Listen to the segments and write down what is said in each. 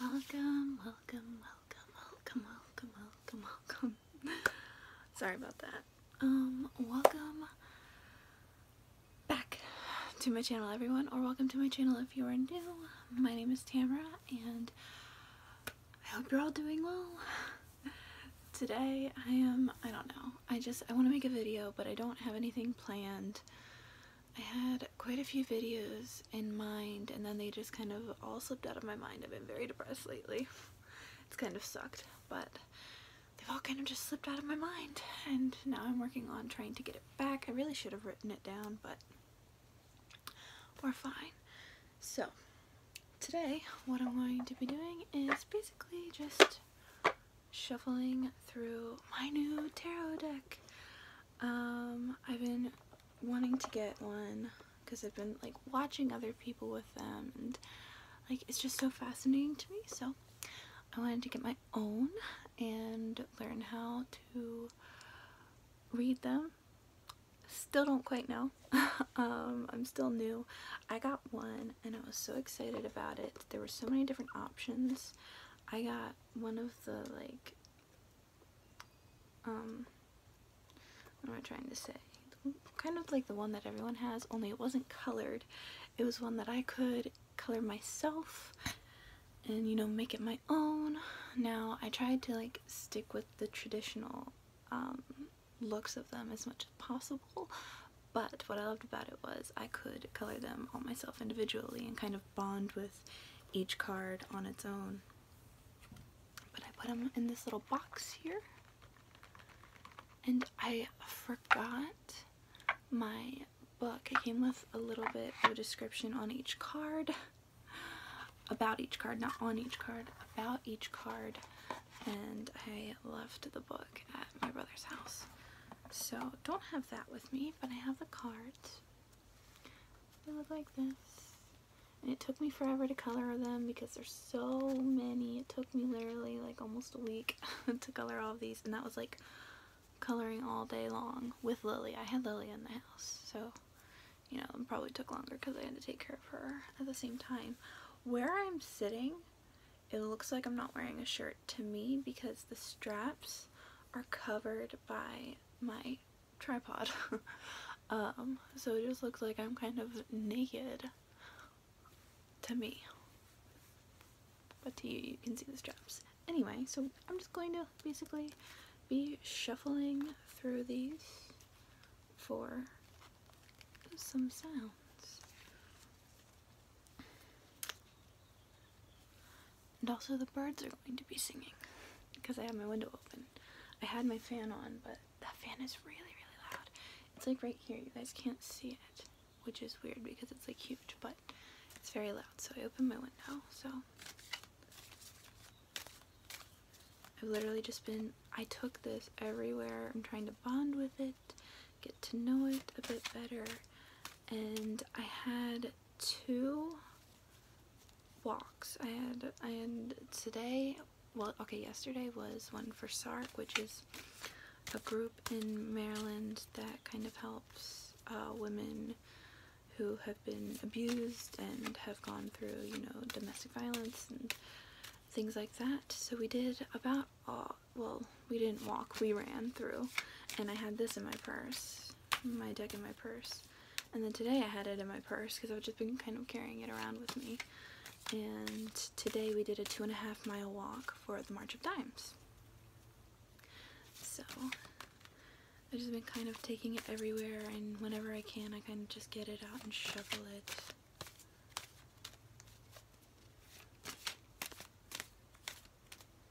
Welcome, welcome, welcome, welcome, welcome, welcome, welcome. Sorry about that. Um, welcome back to my channel, everyone, or welcome to my channel if you are new. My name is Tamara, and I hope you're all doing well. Today, I am, I don't know, I just, I want to make a video, but I don't have anything planned. I had quite a few videos in mind and then they just kind of all slipped out of my mind. I've been very depressed lately. It's kind of sucked, but they've all kind of just slipped out of my mind and now I'm working on trying to get it back. I really should have written it down, but we're fine. So, today what I'm going to be doing is basically just shuffling through my new tarot deck. Um, I've been wanting to get one because I've been like watching other people with them and like it's just so fascinating to me so I wanted to get my own and learn how to read them. Still don't quite know. um, I'm still new. I got one and I was so excited about it. There were so many different options. I got one of the like um, what am I trying to say? Kind of like the one that everyone has, only it wasn't colored. It was one that I could color myself and, you know, make it my own. Now, I tried to, like, stick with the traditional um, looks of them as much as possible, but what I loved about it was I could color them all myself individually and kind of bond with each card on its own. But I put them in this little box here. And I forgot my book. It came with a little bit of a description on each card. About each card, not on each card, about each card. And I left the book at my brother's house. So don't have that with me, but I have the cards. They look like this. And it took me forever to color them because there's so many. It took me literally like almost a week to color all of these. And that was like coloring all day long with Lily. I had Lily in the house. So, you know, it probably took longer because I had to take care of her at the same time. Where I'm sitting, it looks like I'm not wearing a shirt to me because the straps are covered by my tripod. um, so it just looks like I'm kind of naked to me. But to you, you can see the straps. Anyway, so I'm just going to basically be shuffling through these for some sounds. And also the birds are going to be singing because I have my window open. I had my fan on, but that fan is really, really loud. It's like right here. You guys can't see it, which is weird because it's like huge, but it's very loud. So I opened my window. So I've literally just been, I took this everywhere. I'm trying to bond with it, get to know it a bit better. And I had two walks. I had and today, well, okay, yesterday was one for SARC, which is a group in Maryland that kind of helps uh, women who have been abused and have gone through, you know, domestic violence and things like that. So we did about, uh, well, we didn't walk, we ran through, and I had this in my purse my deck in my purse. And then today I had it in my purse because I've just been kind of carrying it around with me. And today we did a two and a half mile walk for the March of Dimes. So I've just been kind of taking it everywhere and whenever I can I kind of just get it out and shovel it.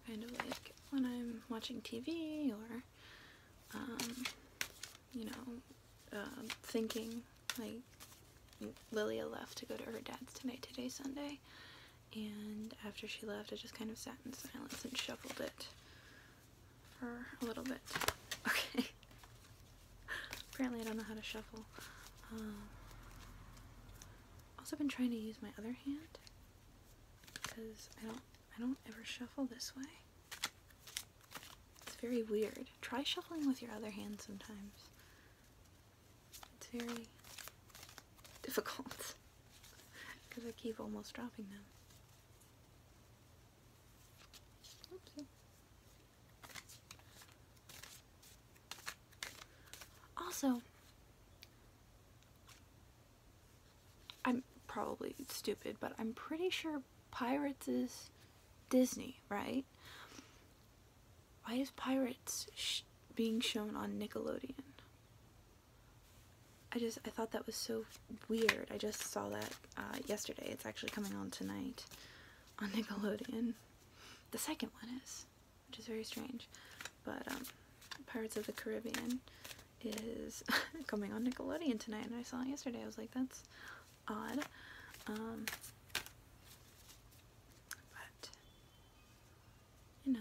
Kind of like when I'm watching TV or um, you know, um, thinking. Like, Lilia left to go to her dad's tonight, today, Sunday. And after she left, I just kind of sat in silence and shuffled it for a little bit. Okay. Apparently I don't know how to shuffle. Um, also been trying to use my other hand because I don't I don't ever shuffle this way. It's very weird. Try shuffling with your other hand sometimes. It's very difficult because I keep almost dropping them. Also, I'm probably stupid, but I'm pretty sure Pirates is Disney, right? Why is Pirates being shown on Nickelodeon? I just, I thought that was so weird. I just saw that uh, yesterday. It's actually coming on tonight on Nickelodeon. The second one is, which is very strange. But, um, Pirates of the Caribbean is coming on Nickelodeon tonight, and I saw it yesterday. I was like, that's odd. Um, but, you know,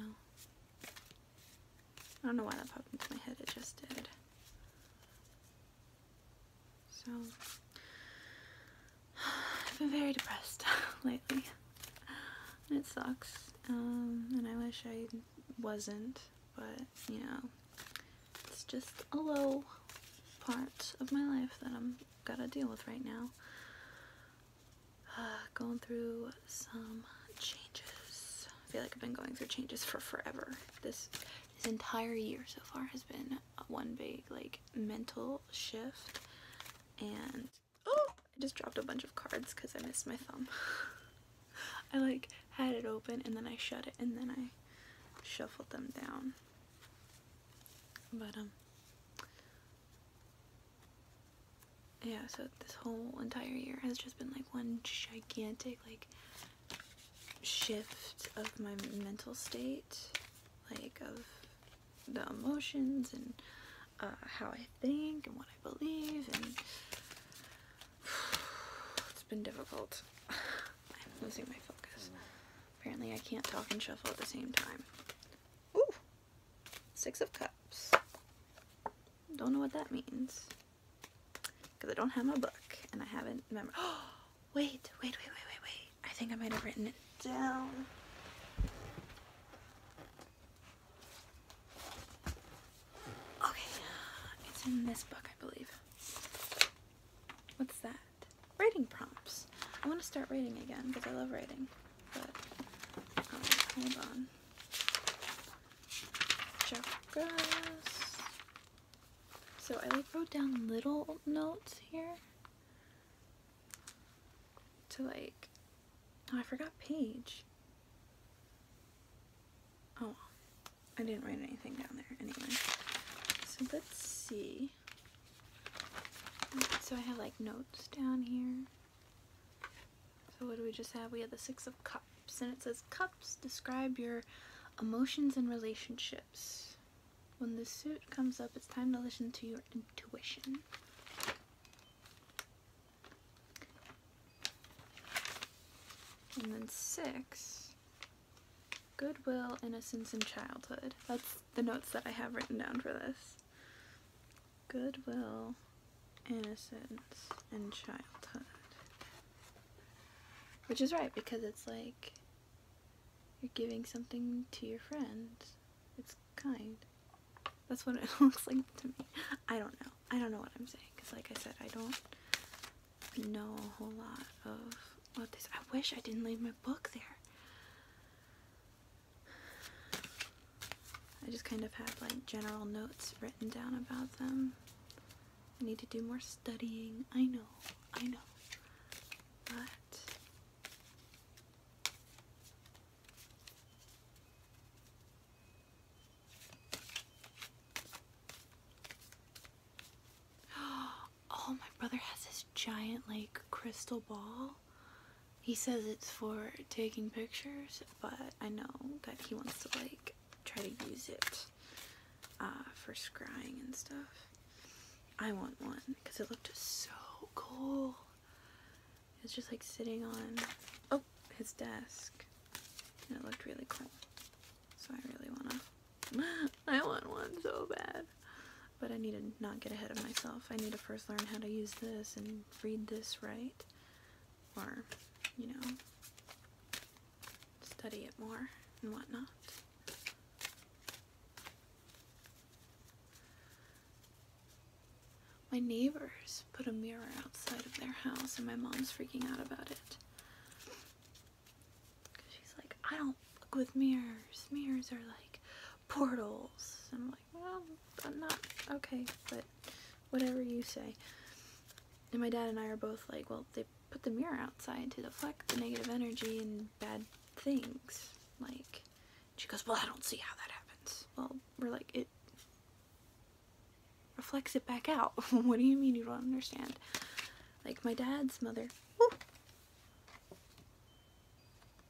I don't know why that popped into my head, it just did. So, I've been very depressed lately, and it sucks, um, and I wish I wasn't but you know, it's just a low part of my life that I'm gotta deal with right now. Uh, going through some changes. I feel like I've been going through changes for forever. this entire year so far has been one big like mental shift and oh I just dropped a bunch of cards because I missed my thumb I like had it open and then I shut it and then I shuffled them down. But um yeah, so this whole entire year has just been like one gigantic like shift of my mental state, like of the emotions and uh, how I think and what I believe and it's been difficult. I'm losing my focus. Apparently I can't talk and shuffle at the same time. Ooh! Six of Cups. Don't know what that means. Because I don't have my book and I haven't remember. Oh! Wait, wait, wait, wait, wait, wait. I think I might have written it down. Okay, it's in this book, I believe. What's that? Writing prompts. I want to start writing again because I love writing. But um, hold on. Chakras. So I like wrote down little notes here to like. Oh, I forgot page. Oh, I didn't write anything down there anyway. So let's see. So I have like notes down here. So what do we just have? We have the Six of Cups and it says cups describe your emotions and relationships. When the suit comes up, it's time to listen to your intuition. And then six, goodwill, innocence, and childhood. That's the notes that I have written down for this. Goodwill, innocence, and childhood. Which is right, because it's like you're giving something to your friend. It's kind. That's what it looks like to me. I don't know. I don't know what I'm saying, because like I said, I don't know a whole lot of what this. I wish I didn't leave my book there. I just kind of have like general notes written down about them. I need to do more studying. I know, I know. But Oh, my brother has this giant like crystal ball. He says it's for taking pictures, but I know that he wants to like try to use it uh, for scrying and stuff. I want one because it looked so cool. It's just like sitting on, oh, his desk it looked really cool. So I really wanna, I want one so bad. But I need to not get ahead of myself. I need to first learn how to use this and read this right. Or, you know, study it more and whatnot. My neighbors put a mirror outside of their house and my mom's freaking out about it she's like, I don't look with mirrors. Mirrors are like portals. I'm like, well, I'm not okay, but whatever you say. And my dad and I are both like, well, they put the mirror outside to deflect the negative energy and bad things. Like, she goes, well, I don't see how that happens. Well, we're like, it reflects it back out. what do you mean you don't understand? Like my dad's mother.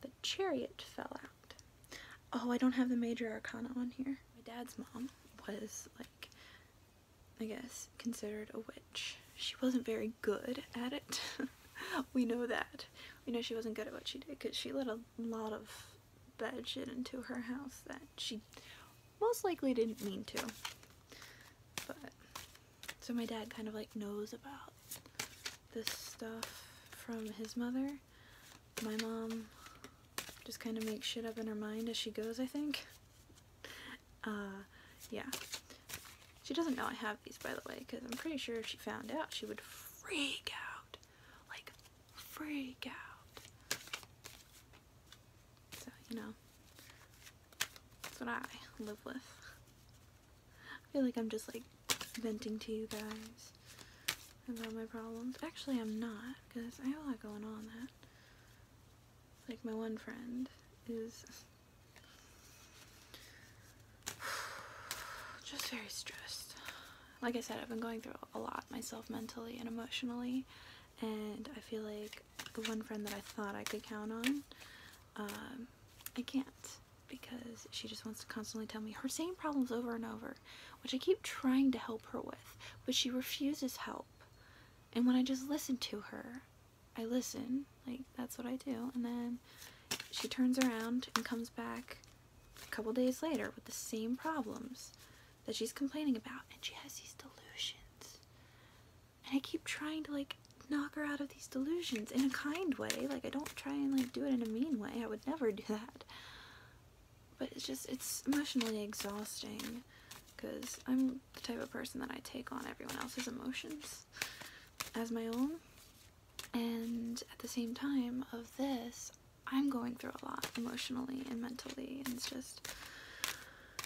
The chariot fell out. Oh, I don't have the major arcana on here. My dad's mom was like, I guess, considered a witch. She wasn't very good at it. we know that. We know she wasn't good at what she did because she let a lot of bad shit into her house that she most likely didn't mean to. But so my dad kind of like knows about this stuff from his mother. My mom just kind of makes shit up in her mind as she goes, I think. Uh, yeah. She doesn't know I have these, by the way, because I'm pretty sure if she found out, she would freak out. Like, freak out. So, you know, that's what I live with. I feel like I'm just like venting to you guys about my problems. Actually, I'm not, because I have a lot going on that. Like, my one friend is just very stressed. Like I said, I've been going through a lot myself mentally and emotionally, and I feel like the one friend that I thought I could count on, um, I can't because she just wants to constantly tell me her same problems over and over, which I keep trying to help her with, but she refuses help. And when I just listen to her, I listen, like that's what I do, and then she turns around and comes back a couple days later with the same problems that she's complaining about, and she has these delusions and I keep trying to like knock her out of these delusions in a kind way. Like I don't try and like do it in a mean way. I would never do that. But it's just it's emotionally exhausting because I'm the type of person that I take on everyone else's emotions as my own. And at the same time of this, I'm going through a lot emotionally and mentally and it's just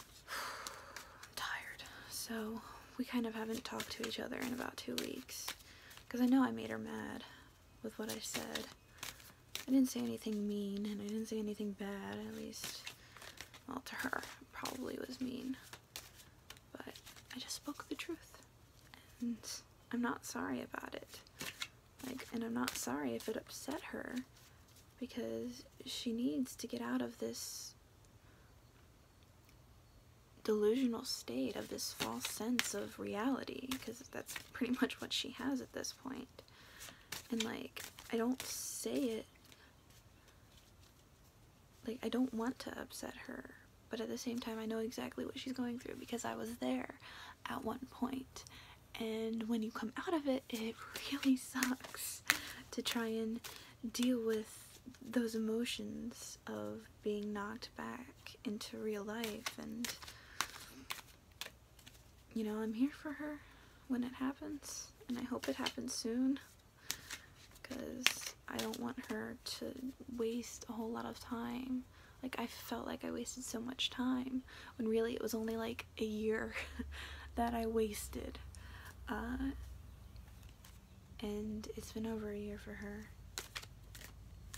I'm tired. So we kind of haven't talked to each other in about two weeks. Because I know I made her mad with what I said. I didn't say anything mean, and I didn't say anything bad, at least, well, to her, probably was mean. But I just spoke the truth, and I'm not sorry about it. Like, and I'm not sorry if it upset her, because she needs to get out of this delusional state of this false sense of reality because that's pretty much what she has at this point. And like, I don't say it like I don't want to upset her, but at the same time I know exactly what she's going through because I was there at one point. And when you come out of it, it really sucks to try and deal with those emotions of being knocked back into real life and you know i'm here for her when it happens and i hope it happens soon because i don't want her to waste a whole lot of time like i felt like i wasted so much time when really it was only like a year that I wasted. Uh, and it's been over a year for her.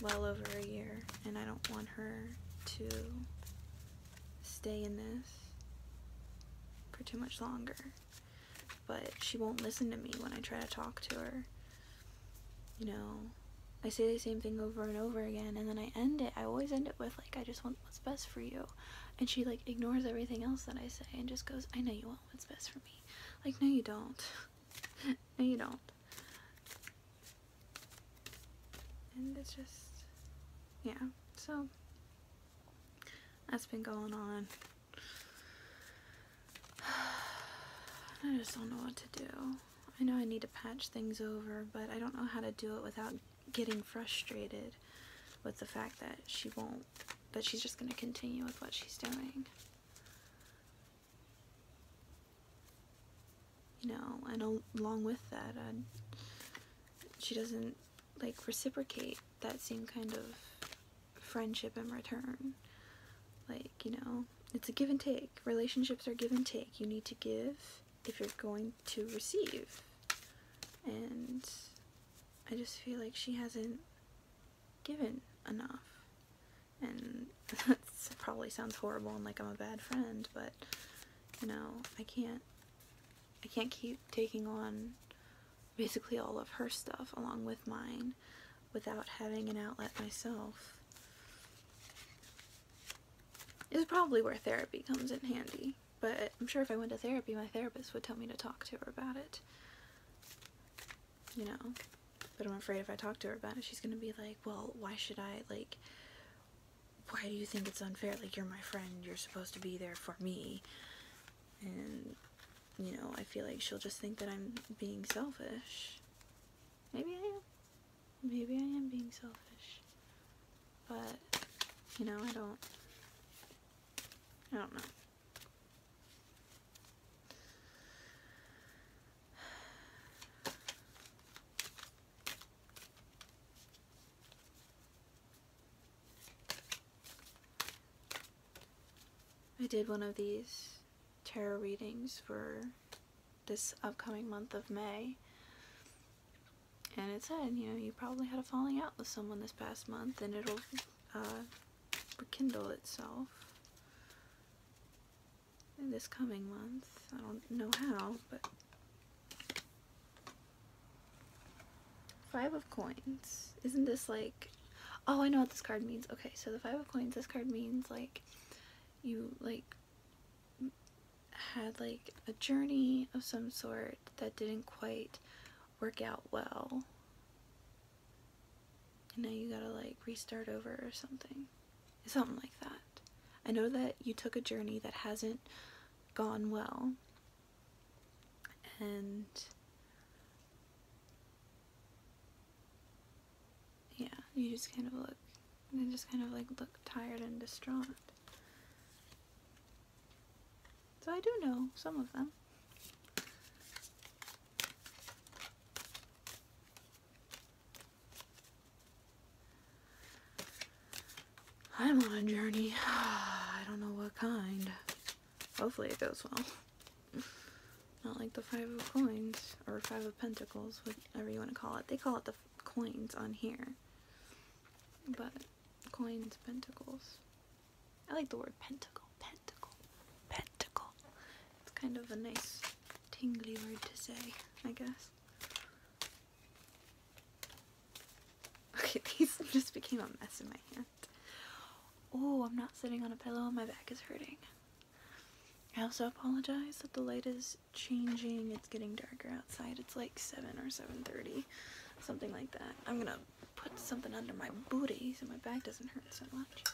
Well over a year. And I don't want her to stay in this for too much longer. But she won't listen to me when I try to talk to her. You know, I say the same thing over and over again and then I end it. I always end it with like, I just want what's best for you and she like ignores everything else that i say and just goes i know you want what's best for me like no you don't no you don't and it's just yeah so that's been going on i just don't know what to do i know i need to patch things over but i don't know how to do it without getting frustrated with the fact that she won't, but she's just going to continue with what she's doing. You know, and along with that, uh, she doesn't like reciprocate that same kind of friendship in return. Like, you know, it's a give and take. Relationships are give and take. You need to give if you're going to receive. And I just feel like she hasn't given enough. And that probably sounds horrible and like I'm a bad friend, but you know, I can't I can't keep taking on basically all of her stuff along with mine without having an outlet myself. Is probably where therapy comes in handy but I'm sure if I went to therapy, my therapist would tell me to talk to her about it. You know? But I'm afraid if I talk to her about it, she's gonna be like, well, why should I, like, why do you think it's unfair? Like, you're my friend, you're supposed to be there for me. And, you know, I feel like she'll just think that I'm being selfish. Maybe I am. Maybe I am being selfish. But, you know, I don't I don't know. I did one of these tarot readings for this upcoming month of May and it said, you know, you probably had a falling out with someone this past month and it'll uh, rekindle itself in this coming month. I don't know how, but... Five of Coins. Isn't this like... Oh, I know what this card means. Okay, so the Five of Coins, this card means like you like had like a journey of some sort that didn't quite work out well. And now you gotta like restart over or something. Something like that. I know that you took a journey that hasn't gone well. And yeah, you just kind of look, and just kind of like look tired and distraught. So I do know some of them. I'm on a journey. I don't know what kind. Hopefully it goes well. Not like the Five of Coins, or Five of Pentacles, whatever you want to call it. They call it the coins on here. But, coins, pentacles. I like the word pentacle, pentacle, pentacle. It's kind of a nice tingly word to say, I guess. Okay, these just became a mess in my hand. Oh, I'm not sitting on a pillow my back is hurting. I also apologize that the light is changing. It's getting darker outside. It's like 7 or 7.30, something like that. I'm gonna put something under my booty so my back doesn't hurt so much.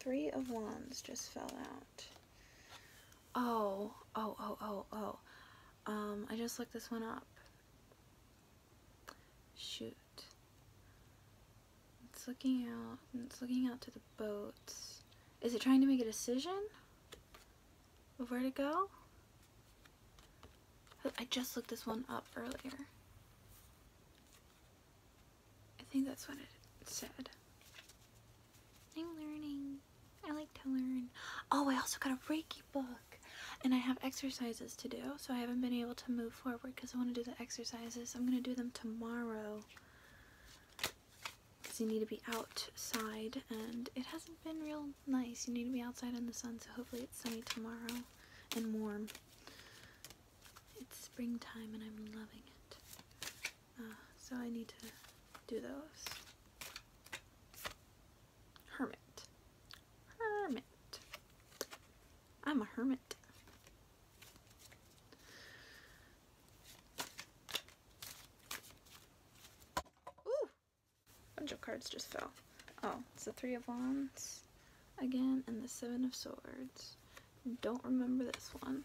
Three of Wands just fell out. Oh, oh, oh, oh, oh. Um, I just looked this one up. Shoot. It's looking out, it's looking out to the boats. Is it trying to make a decision of where to go? Oh, I just looked this one up earlier. I think that's what it said. I'm learning. I like to learn. Oh, I also got a Reiki book. And I have exercises to do, so I haven't been able to move forward because I want to do the exercises. I'm going to do them tomorrow because you need to be outside, and it hasn't been real nice. You need to be outside in the sun, so hopefully it's sunny tomorrow and warm. It's springtime, and I'm loving it. Uh, so I need to do those. Hermit. Hermit. I'm a hermit. Ooh! Bunch of cards just fell. Oh, it's the Three of Wands again and the Seven of Swords. Don't remember this one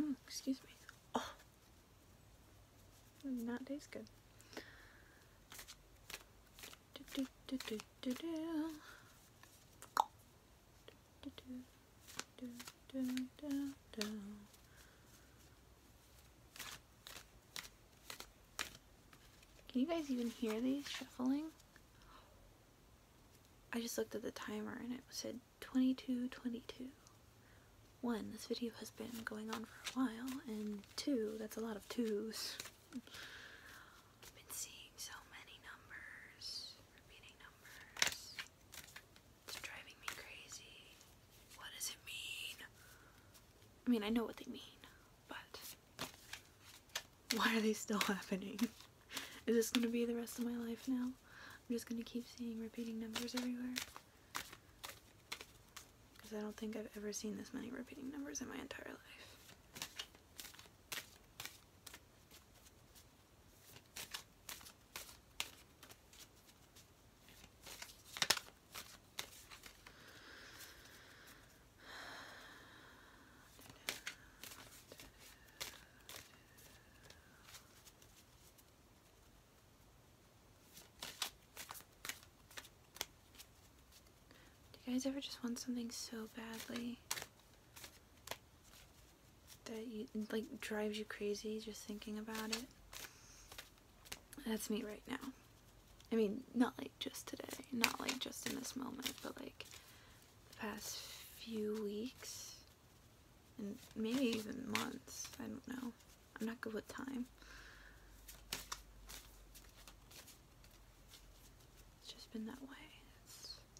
mm, excuse me. Oh, does not good. Can you guys even hear these shuffling? I just looked at the timer and it said 22:22. One, this video has been going on for a while, and two, that's a lot of 2s been seeing so many numbers repeating numbers. It's driving me crazy. What does it mean? I mean, I know what they mean, but why are they still happening? Is this gonna be the rest of my life now? I'm just gonna keep seeing repeating numbers everywhere. Because I don't think I've ever seen this many repeating numbers in my entire life. Do you guys ever just want something so badly that you like drives you crazy just thinking about it. That's me right now. I mean, not like just today, not like just in this moment, but like past few weeks and maybe even months. I don't know. I'm not good with time. It's just been that way. It's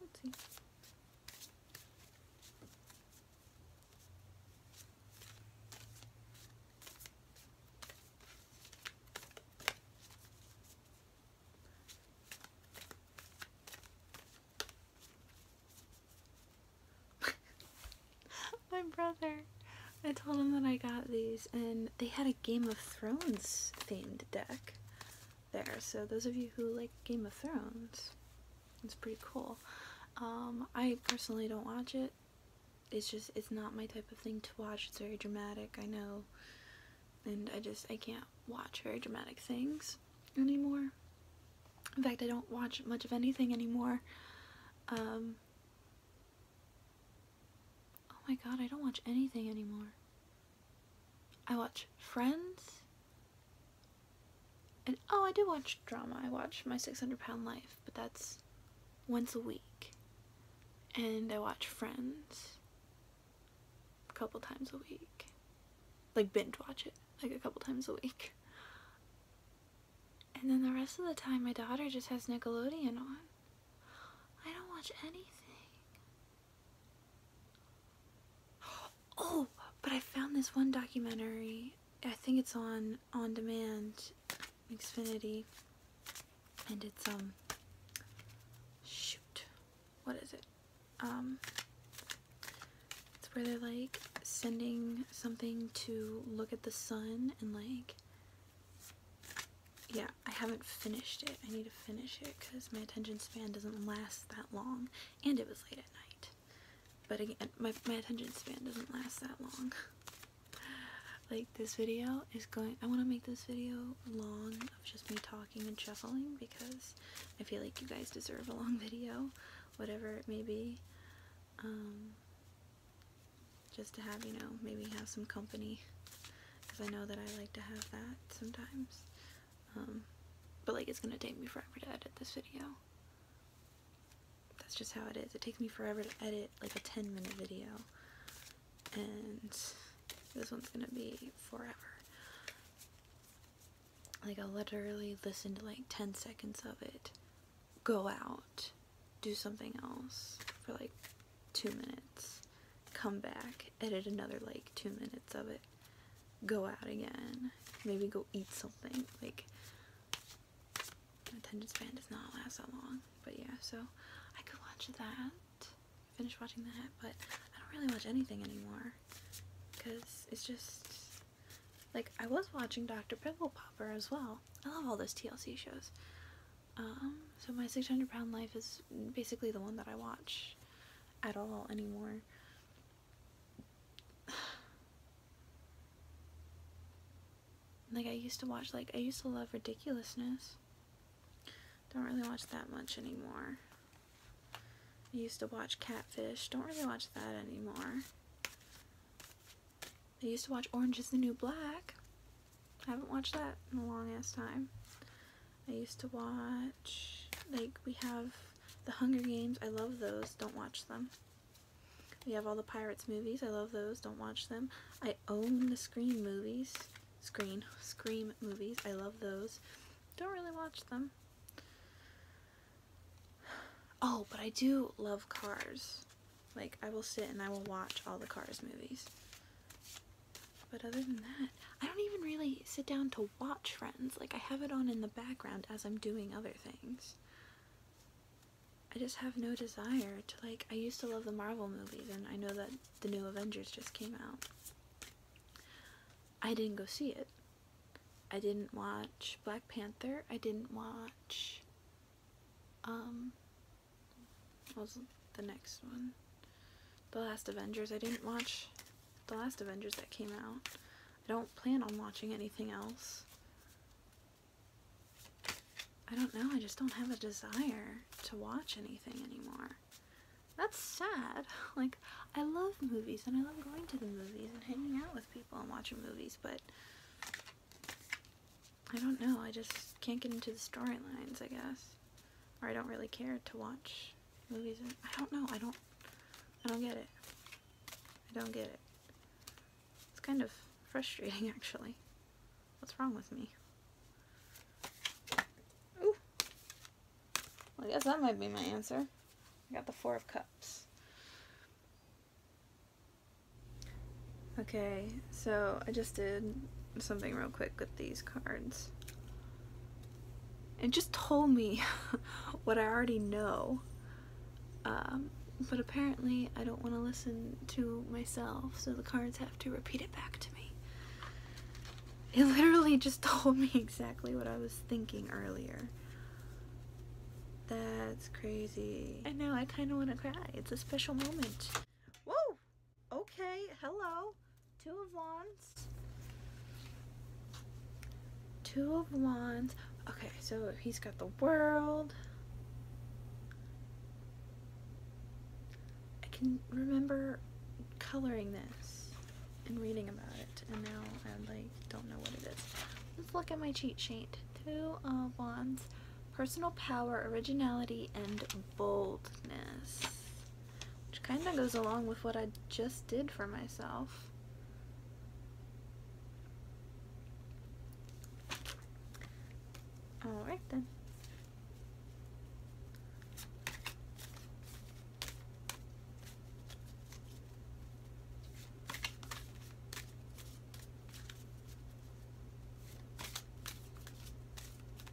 Let's see. My brother I told them that I got these, and they had a Game of Thrones themed deck there. So those of you who like Game of Thrones, it's pretty cool. Um, I personally don't watch it. It's just it's not my type of thing to watch. It's very dramatic, I know, and I just I can't watch very dramatic things anymore. In fact, I don't watch much of anything anymore. Um, Oh my god, I don't watch anything anymore. I watch Friends. And oh, I do watch drama. I watch My 600 Pound Life, but that's once a week. And I watch Friends a couple times a week. Like binge watch it like a couple times a week. And then the rest of the time my daughter just has Nickelodeon on. I don't watch anything. Oh, but I found this one documentary. I think it's on on demand, Xfinity, and it's um. Shoot, what is it? Um, it's where they're like sending something to look at the sun and like. Yeah, I haven't finished it. I need to finish it because my attention span doesn't last that long. And it was late at night. But again, my, my attention span doesn't last that long. like this video is going, I want to make this video long of just me talking and shuffling because I feel like you guys deserve a long video, whatever it may be. Um, just to have, you know, maybe have some company because I know that I like to have that sometimes. Um, but like it's gonna take me forever to edit this video. That's just how it is. It takes me forever to edit like a 10 minute video and this one's gonna be forever. Like I'll literally listen to like 10 seconds of it, go out, do something else for like two minutes, come back, edit another like two minutes of it, go out again, maybe go eat something. Like, attention span does not last that long. But yeah, so I could watch that, finish watching that, but I don't really watch anything anymore because it's just like I was watching Dr. Pimple Popper as well. I love all those TLC shows. Um, so my 600 pound life is basically the one that I watch at all anymore. like I used to watch, like I used to love Ridiculousness. Don't really watch that much anymore. I used to watch Catfish. Don't really watch that anymore. I used to watch Orange is the New Black. I haven't watched that in a long ass time. I used to watch, like, we have the Hunger Games. I love those. Don't watch them. We have all the Pirates movies. I love those. Don't watch them. I own the Scream movies. Scream, Scream movies. I love those. Don't really watch them. Oh, but I do love Cars. Like, I will sit and I will watch all the Cars movies. But other than that, I don't even really sit down to watch Friends. Like, I have it on in the background as I'm doing other things. I just have no desire to, like, I used to love the Marvel movies, and I know that the new Avengers just came out. I didn't go see it. I didn't watch Black Panther. I didn't watch um, was the next one. The Last Avengers. I didn't watch The Last Avengers that came out. I don't plan on watching anything else. I don't know, I just don't have a desire to watch anything anymore. That's sad. Like, I love movies and I love going to the movies and hanging out with people and watching movies, but I don't know. I just can't get into the storylines, I guess. Or I don't really care to watch movies. I don't know. I don't. I don't get it. I don't get it. It's kind of frustrating, actually. What's wrong with me? Ooh. I guess that might be my answer. I got the Four of Cups. Okay, so I just did something real quick with these cards. It just told me what I already know. Um, but apparently I don't want to listen to myself, so the cards have to repeat it back to me. It literally just told me exactly what I was thinking earlier. That's crazy. I know, I kind of want to cry. It's a special moment. Whoa! Okay, hello. Two of Wands. Two of Wands. Okay, so he's got the world. I can remember coloring this and reading about it, and now I like don't know what it is. Let's look at my cheat sheet. Two of Wands. Personal power, originality, and boldness. Which kind of goes along with what I just did for myself. Alright then.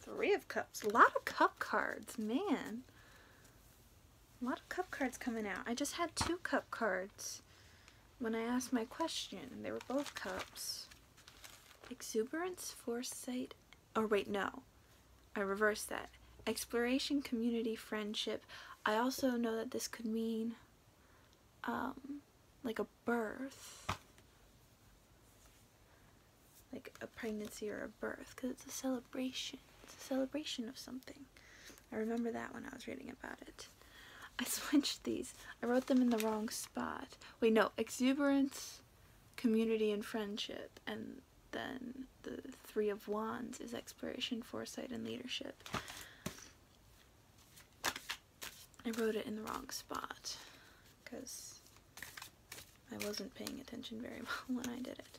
Three of Cups. A lot of cup cards, man. A lot of cup cards coming out. I just had two cup cards when I asked my question. They were both cups. Exuberance, foresight, or wait, no. I reversed that. Exploration, community, friendship. I also know that this could mean um, like a birth, like a pregnancy or a birth, because it's a celebration. It's a celebration of something. I remember that when I was reading about it. I switched these. I wrote them in the wrong spot. Wait, no, exuberance, community, and friendship, and then the Three of Wands is exploration, foresight, and leadership. I wrote it in the wrong spot because I wasn't paying attention very well when I did it.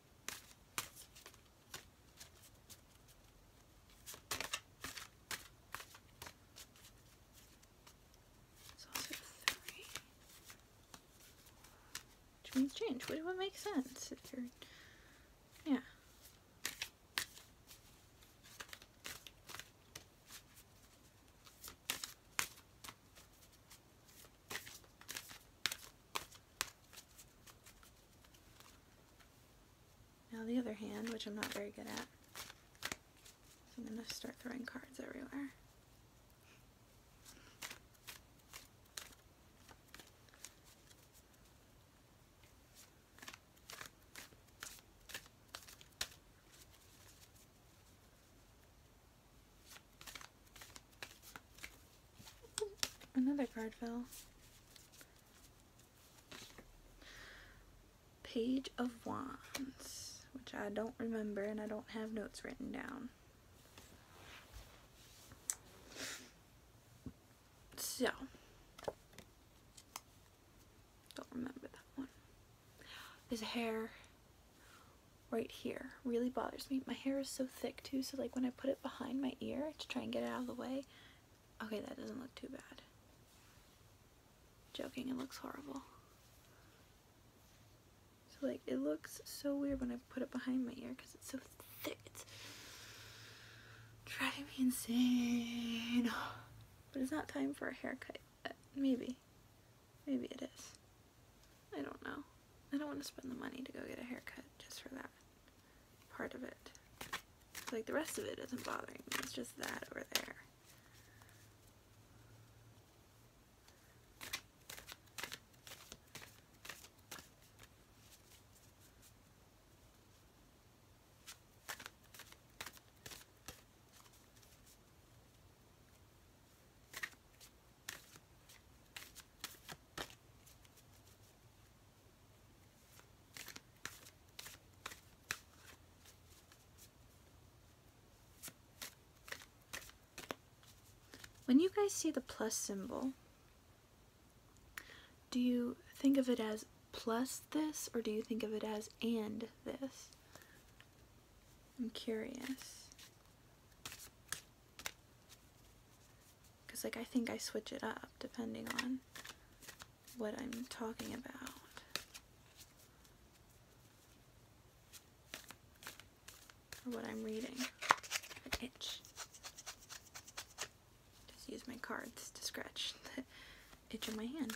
Which means change, which would make sense if you're yeah. Now the other hand, which I'm not very good at, I'm going to start throwing cards everywhere. Another card fell. Page of Wands, which I don't remember and I don't have notes written down. So, don't remember that one. His hair right here really bothers me. My hair is so thick too, so like when I put it behind my ear to try and get it out of the way. Okay, that doesn't look too bad. Joking, it looks horrible. So like, it looks so weird when I put it behind my ear because it's so thick. It's driving me insane. But it's not time for a haircut. Maybe. Maybe it is. I don't know. I don't want to spend the money to go get a haircut just for that part of it. Like the rest of it isn't bothering me, it's just that over there. When you guys see the plus symbol, do you think of it as plus this or do you think of it as and this? I'm curious. Because, like, I think I switch it up depending on what I'm talking about. Or what I'm reading. itch. Just use my cards to scratch the itch in my hand.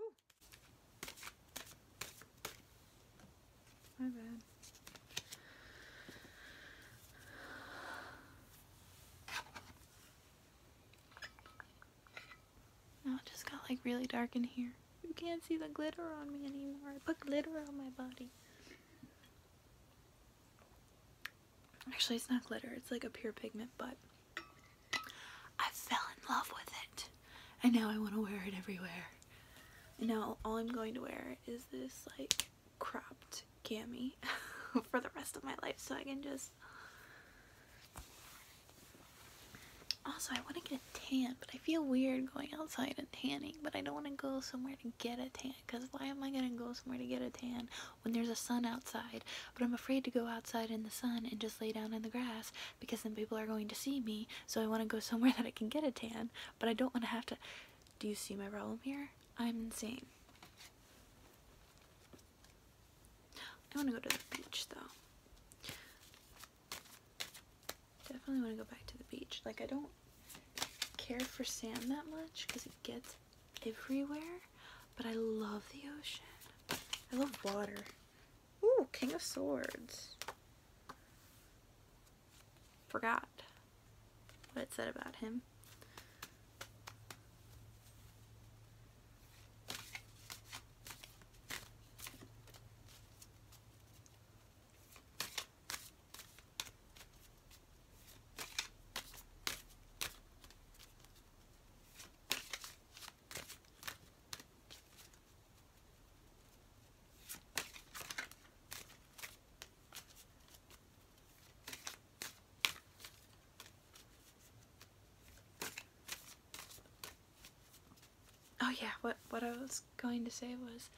Ooh. My bad. Now it just got like really dark in here. You can't see the glitter on me anymore. I put glitter on my body. Actually, it's not glitter. It's like a pure pigment, but I fell in love with it. And now I want to wear it everywhere. And now all I'm going to wear is this like cropped cami for the rest of my life so I can just... Also, I want to get a tan, but I feel weird going outside and tanning, but I don't want to go somewhere to get a tan because why am I gonna go somewhere to get a tan when there's a sun outside? But I'm afraid to go outside in the sun and just lay down in the grass because then people are going to see me, so I want to go somewhere that I can get a tan, but I don't want to have to. Do you see my problem here? I'm insane. I want to go to the beach though. Definitely want to go back to the beach. Like, I don't care for sand that much because it gets everywhere, but I love the ocean. I love water. Ooh, King of Swords. Forgot what it said about him. Oh yeah, what what I was going to say was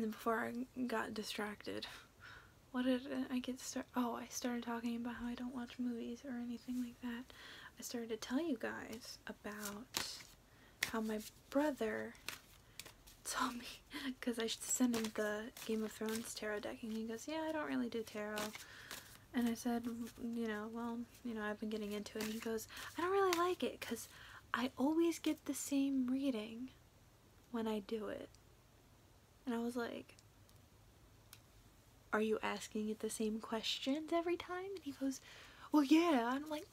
before I got distracted, what did I get start? Oh, I started talking about how I don't watch movies or anything like that. I started to tell you guys about how my brother told me because I sent him the Game of Thrones tarot deck and he goes, yeah, I don't really do tarot. And I said, you know, well, you know, I've been getting into it. And he goes, I don't really like it because I always get the same reading when I do it. And I was like, are you asking it the same questions every time? And he goes, well, yeah. I'm like,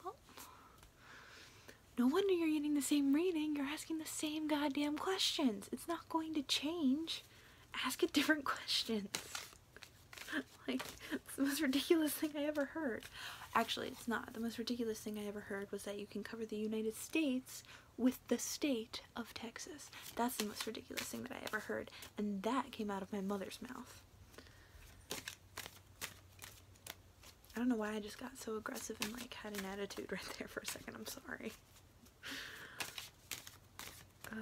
no wonder you're getting the same reading. You're asking the same goddamn questions. It's not going to change. Ask it different questions. like, it's the most ridiculous thing I ever heard. Actually, it's not. The most ridiculous thing I ever heard was that you can cover the United States with the state of Texas. That's the most ridiculous thing that I ever heard, and that came out of my mother's mouth. I don't know why I just got so aggressive and like had an attitude right there for a second. I'm sorry. I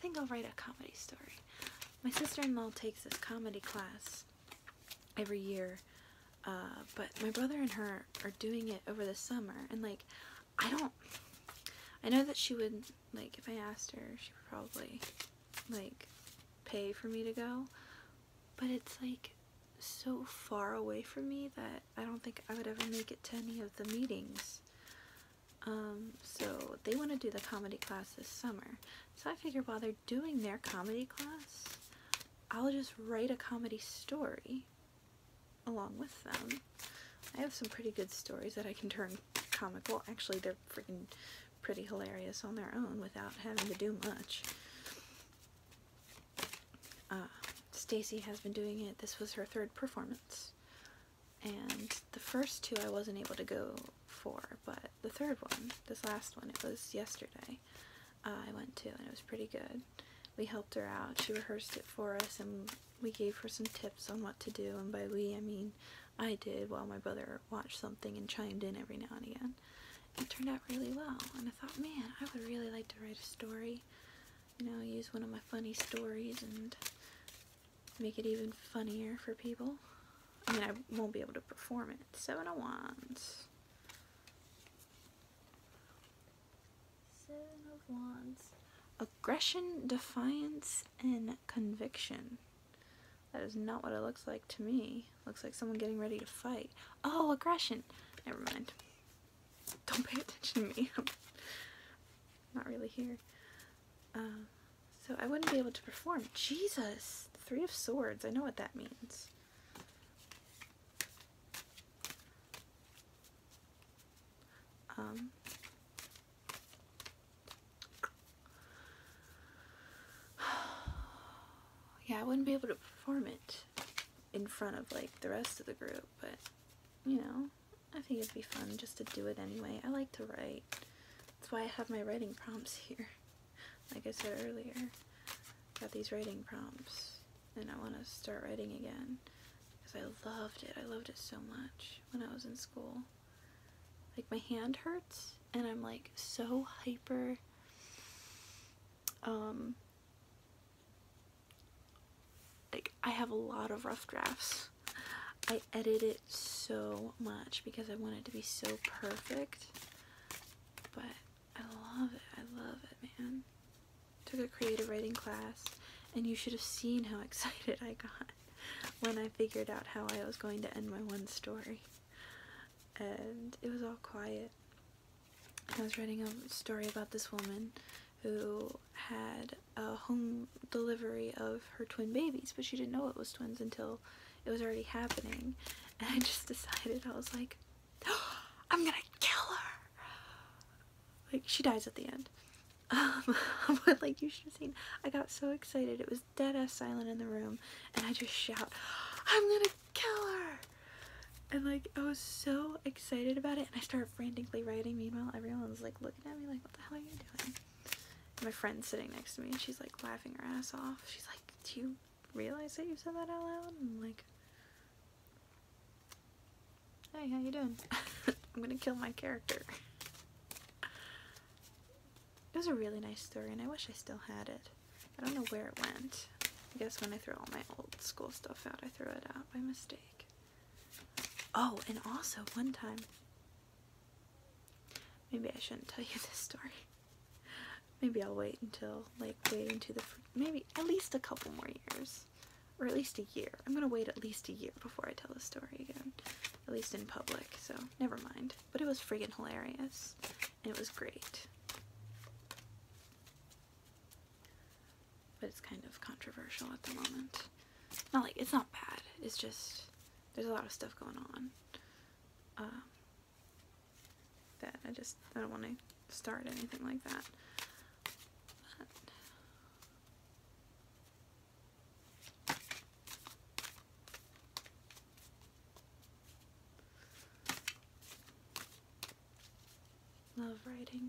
think I'll write a comedy story. My sister-in-law takes this comedy class every year. Uh, but my brother and her are doing it over the summer, and like, I don't. I know that she would like if I asked her, she would probably like pay for me to go, but it's like so far away from me that I don't think I would ever make it to any of the meetings. Um, so they want to do the comedy class this summer. So I figured while they're doing their comedy class, I'll just write a comedy story along with them. I have some pretty good stories that I can turn comical. Actually, they're freaking pretty hilarious on their own without having to do much. Uh, Stacy has been doing it. This was her third performance. And the first two I wasn't able to go for but the third one, this last one, it was yesterday, uh, I went to, and it was pretty good. We helped her out. She rehearsed it for us, and we gave her some tips on what to do, and by we, I mean I did while my brother watched something and chimed in every now and again. It turned out really well, and I thought, man, I would really like to write a story, you know, use one of my funny stories and make it even funnier for people. I mean, I won't be able to perform it. Seven of Wands. Aggression, defiance, and conviction. That is not what it looks like to me. Looks like someone getting ready to fight. Oh, aggression. Never mind. Don't pay attention to me. I'm not really here. Um, so I wouldn't be able to perform. Jesus! Three of Swords. I know what that means. Um, yeah, I wouldn't be able to perform it in front of like the rest of the group, but you know, I think it'd be fun just to do it anyway. I like to write. That's why I have my writing prompts here. Like I said earlier, got these writing prompts and I want to start writing again because I loved it. I loved it so much when I was in school. Like my hand hurts and I'm like so hyper um like I have a lot of rough drafts. I edit it so much because I want it to be so perfect. But I love it. I love it, man. Took a creative writing class, and you should have seen how excited I got when I figured out how I was going to end my one story. And it was all quiet. I was writing a story about this woman who had a home delivery of her twin babies, but she didn't know it was twins until it was already happening. And I just decided, I was like, I'm gonna kill her. Like she dies at the end. Um, but like you should have seen, I got so excited. It was dead ass silent in the room, and I just shout, "I'm gonna kill her!" And like I was so excited about it, and I started frantically writing. Meanwhile, everyone was like looking at me, like, "What the hell are you doing?" my friend's sitting next to me, and she's like laughing her ass off. She's like, you realize that you said that out loud and like hey how you doing i'm gonna kill my character it was a really nice story and i wish i still had it i don't know where it went i guess when i threw all my old school stuff out i threw it out by mistake oh and also one time maybe i shouldn't tell you this story Maybe I'll wait until like wait into the maybe at least a couple more years, or at least a year. I'm gonna wait at least a year before I tell the story again, at least in public. So never mind. But it was friggin' hilarious, it was great. But it's kind of controversial at the moment. Not like it's not bad. It's just there's a lot of stuff going on. Um, that I just I don't want to start anything like that. love writing.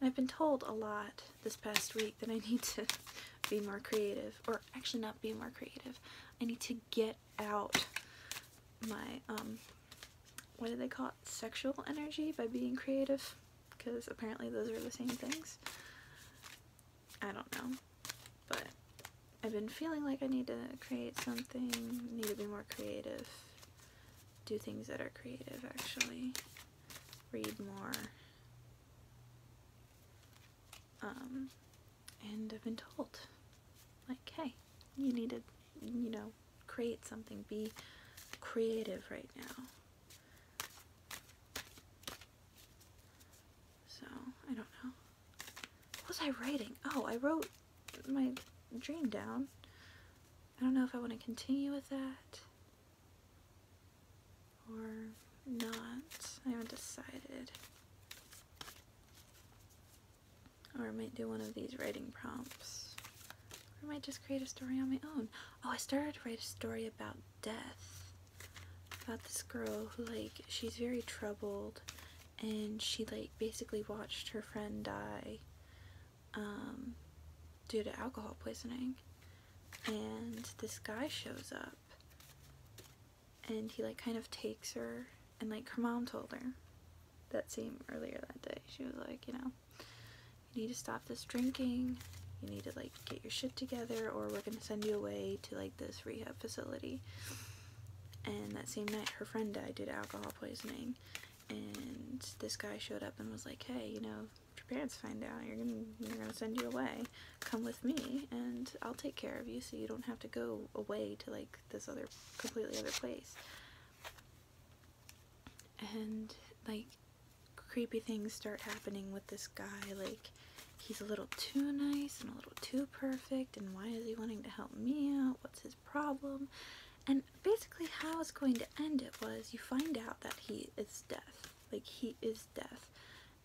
And I've been told a lot this past week that I need to be more creative, or actually not be more creative. I need to get out my, um, what do they call it, sexual energy by being creative, because apparently those are the same things. I don't know, but I've been feeling like I need to create something, need to be more creative, do things that are creative actually, read more, um, and I've been told, like, hey, you need to you know, create something. Be creative right now. So, I don't know. What was I writing? Oh, I wrote my dream down. I don't know if I want to continue with that or not. I haven't decided. Or I might do one of these writing prompts. Or I might just create a story on my own. Oh, I started to write a story about death. About this girl who, like, she's very troubled. And she, like, basically watched her friend die um, due to alcohol poisoning. And this guy shows up. And he, like, kind of takes her. And, like, her mom told her that same earlier that day. She was like, you know, you need to stop this drinking. You need to like get your shit together or we're going to send you away to like this rehab facility. And that same night her friend died did alcohol poisoning. And this guy showed up and was like, hey, you know, if your parents find out, you're going to you're gonna send you away. Come with me and I'll take care of you so you don't have to go away to like this other completely other place and like creepy things start happening with this guy like he's a little too nice and a little too perfect and why is he wanting to help me out what's his problem and basically how it's going to end it was you find out that he is death like he is death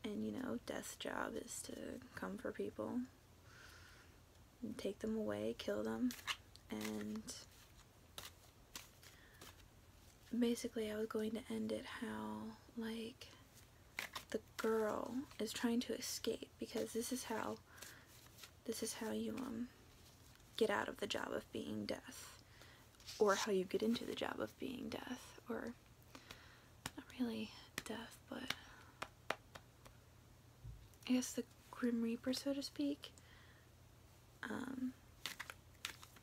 and you know death's job is to come for people take them away, kill them, and basically I was going to end it how, like, the girl is trying to escape because this is how, this is how you, um, get out of the job of being death or how you get into the job of being death or not really death but I guess the Grim Reaper, so to speak, um,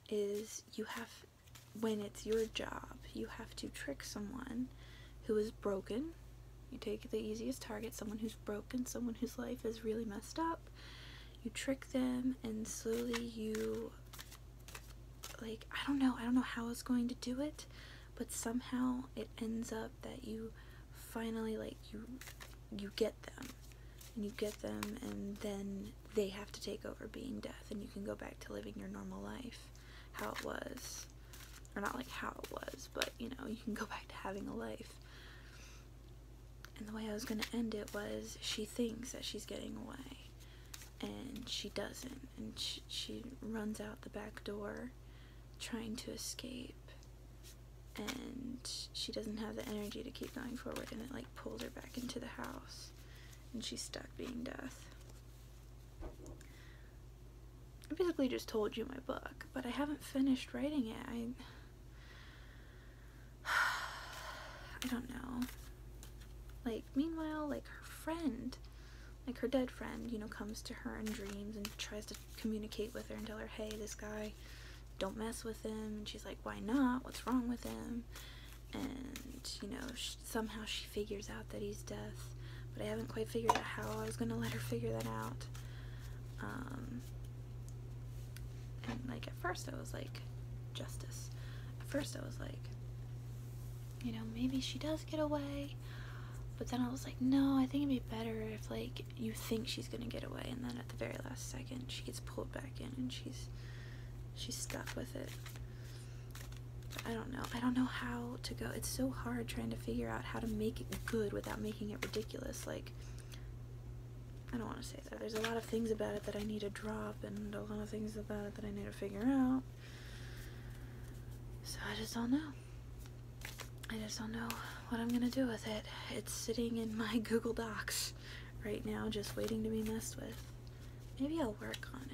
is you have, when it's your job, you have to trick someone who is broken. You take the easiest target, someone who's broken, someone whose life is really messed up. You trick them and slowly you, like, I don't know, I don't know how I was going to do it, but somehow it ends up that you finally like you you get them and you get them and then they have to take over being death and you can go back to living your normal life how it was or not like how it was but you know you can go back to having a life and the way I was going to end it was she thinks that she's getting away and she doesn't and she runs out the back door trying to escape and she doesn't have the energy to keep going forward and it like pulled her back into the house and she's stuck being death. I basically just told you my book, but I haven't finished writing it. I I don't know. Like meanwhile, like her friend, like her dead friend, you know, comes to her in dreams and tries to communicate with her and tell her, hey, this guy, don't mess with him. And she's like, why not? What's wrong with him? And, you know, somehow she figures out that he's deaf. But I haven't quite figured out how I was going to let her figure that out. Um, and, like, at first I was like, justice. At first I was like, you know, maybe she does get away. But then I was like, no, I think it'd be better if, like, you think she's gonna get away and then at the very last second she gets pulled back in and she's she's stuck with it i don't know i don't know how to go it's so hard trying to figure out how to make it good without making it ridiculous like i don't want to say that there's a lot of things about it that i need to drop and a lot of things about it that i need to figure out so i just don't know I just don't know what I'm gonna do with it. It's sitting in my Google Docs right now, just waiting to be messed with. Maybe I'll work on it.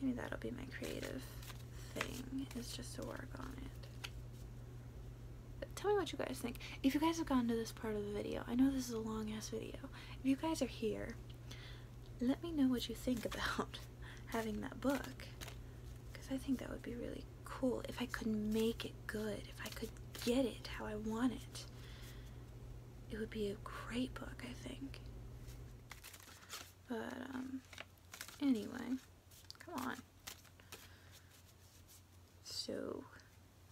Maybe that'll be my creative thing, is just to work on it. tell me what you guys think. If you guys have gotten to this part of the video, I know this is a long ass video. If you guys are here, let me know what you think about having that book. Because I think that would be really cool if I could make it good, if I could get it how I want it. It would be a great book, I think. But, um, anyway, come on. So,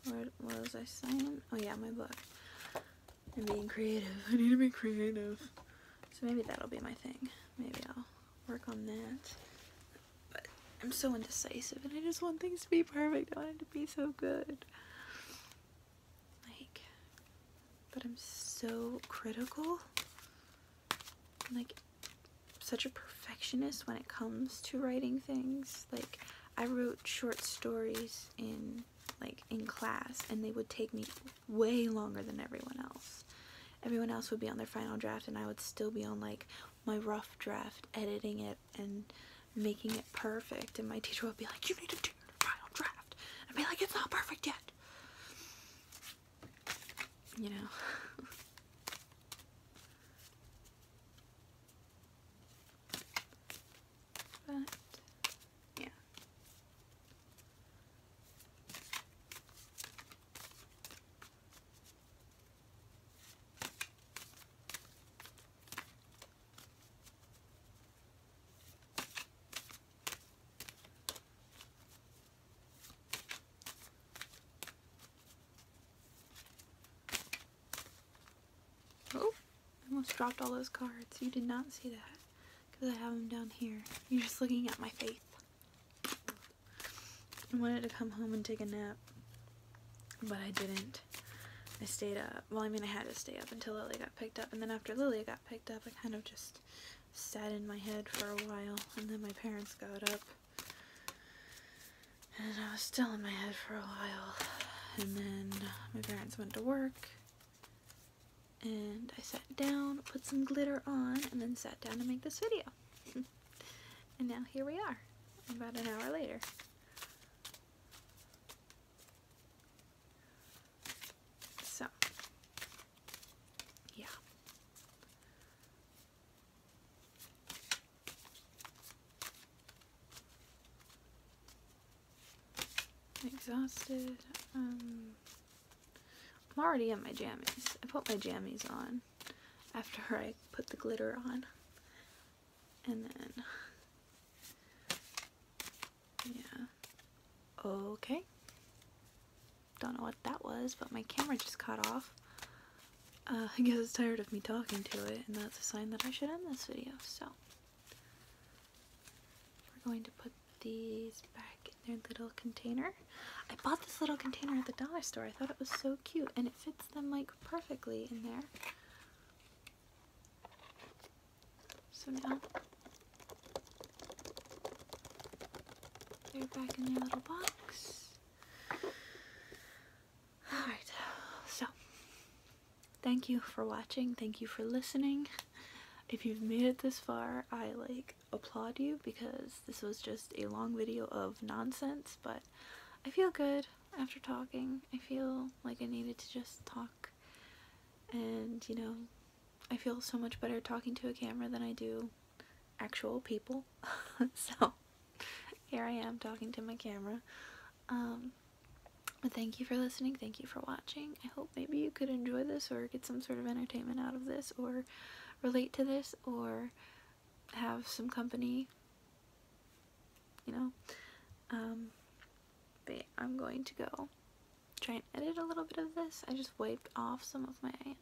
what was I saying? Oh, yeah, my book. I'm being creative. I need to be creative. So maybe that'll be my thing. Maybe I'll work on that. But I'm so indecisive and I just want things to be perfect. I want it to be so good. Like, but I'm so critical. like, such a perfectionist when it comes to writing things. Like, I wrote short stories in like in class and they would take me way longer than everyone else everyone else would be on their final draft and I would still be on like my rough draft editing it and making it perfect and my teacher would be like you need to do your final draft I'd be like it's not perfect yet you know but yeah Oh, I almost dropped all those cards. You did not see that because I have them down here. You're just looking at my face. I wanted to come home and take a nap, but I didn't. I stayed up. Well, I mean, I had to stay up until Lily got picked up, and then after Lily got picked up, I kind of just sat in my head for a while, and then my parents got up, and I was still in my head for a while, and then my parents went to work, and I sat down, put some glitter on, and then sat down to make this video. And now here we are, about an hour later. So, yeah. exhausted. Um, I'm already in my jammies. I put my jammies on after I put the glitter on. And then, yeah. Okay. Don't know what that was, but my camera just cut off. Uh, I guess it's tired of me talking to it, and that's a sign that I should end this video, so. We're going to put these back in their little container. I bought this little container at the dollar store. I thought it was so cute and it fits them like perfectly in there. So now they're back in their little box. Alright, so thank you for watching. Thank you for listening. If you've made it this far, I like applaud you because this was just a long video of nonsense, but I feel good after talking. I feel like I needed to just talk and, you know, I feel so much better talking to a camera than I do actual people. so here I am talking to my camera. Um, but thank you for listening. Thank you for watching. I hope maybe you could enjoy this or get some sort of entertainment out of this or relate to this or have some company, you know. Um, but I'm going to go try and edit a little bit of this. I just wiped off some of my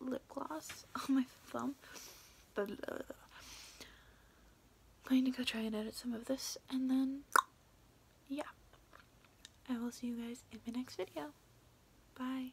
lip gloss on my thumb. But going to go try and edit some of this and then yeah. I will see you guys in my next video. Bye.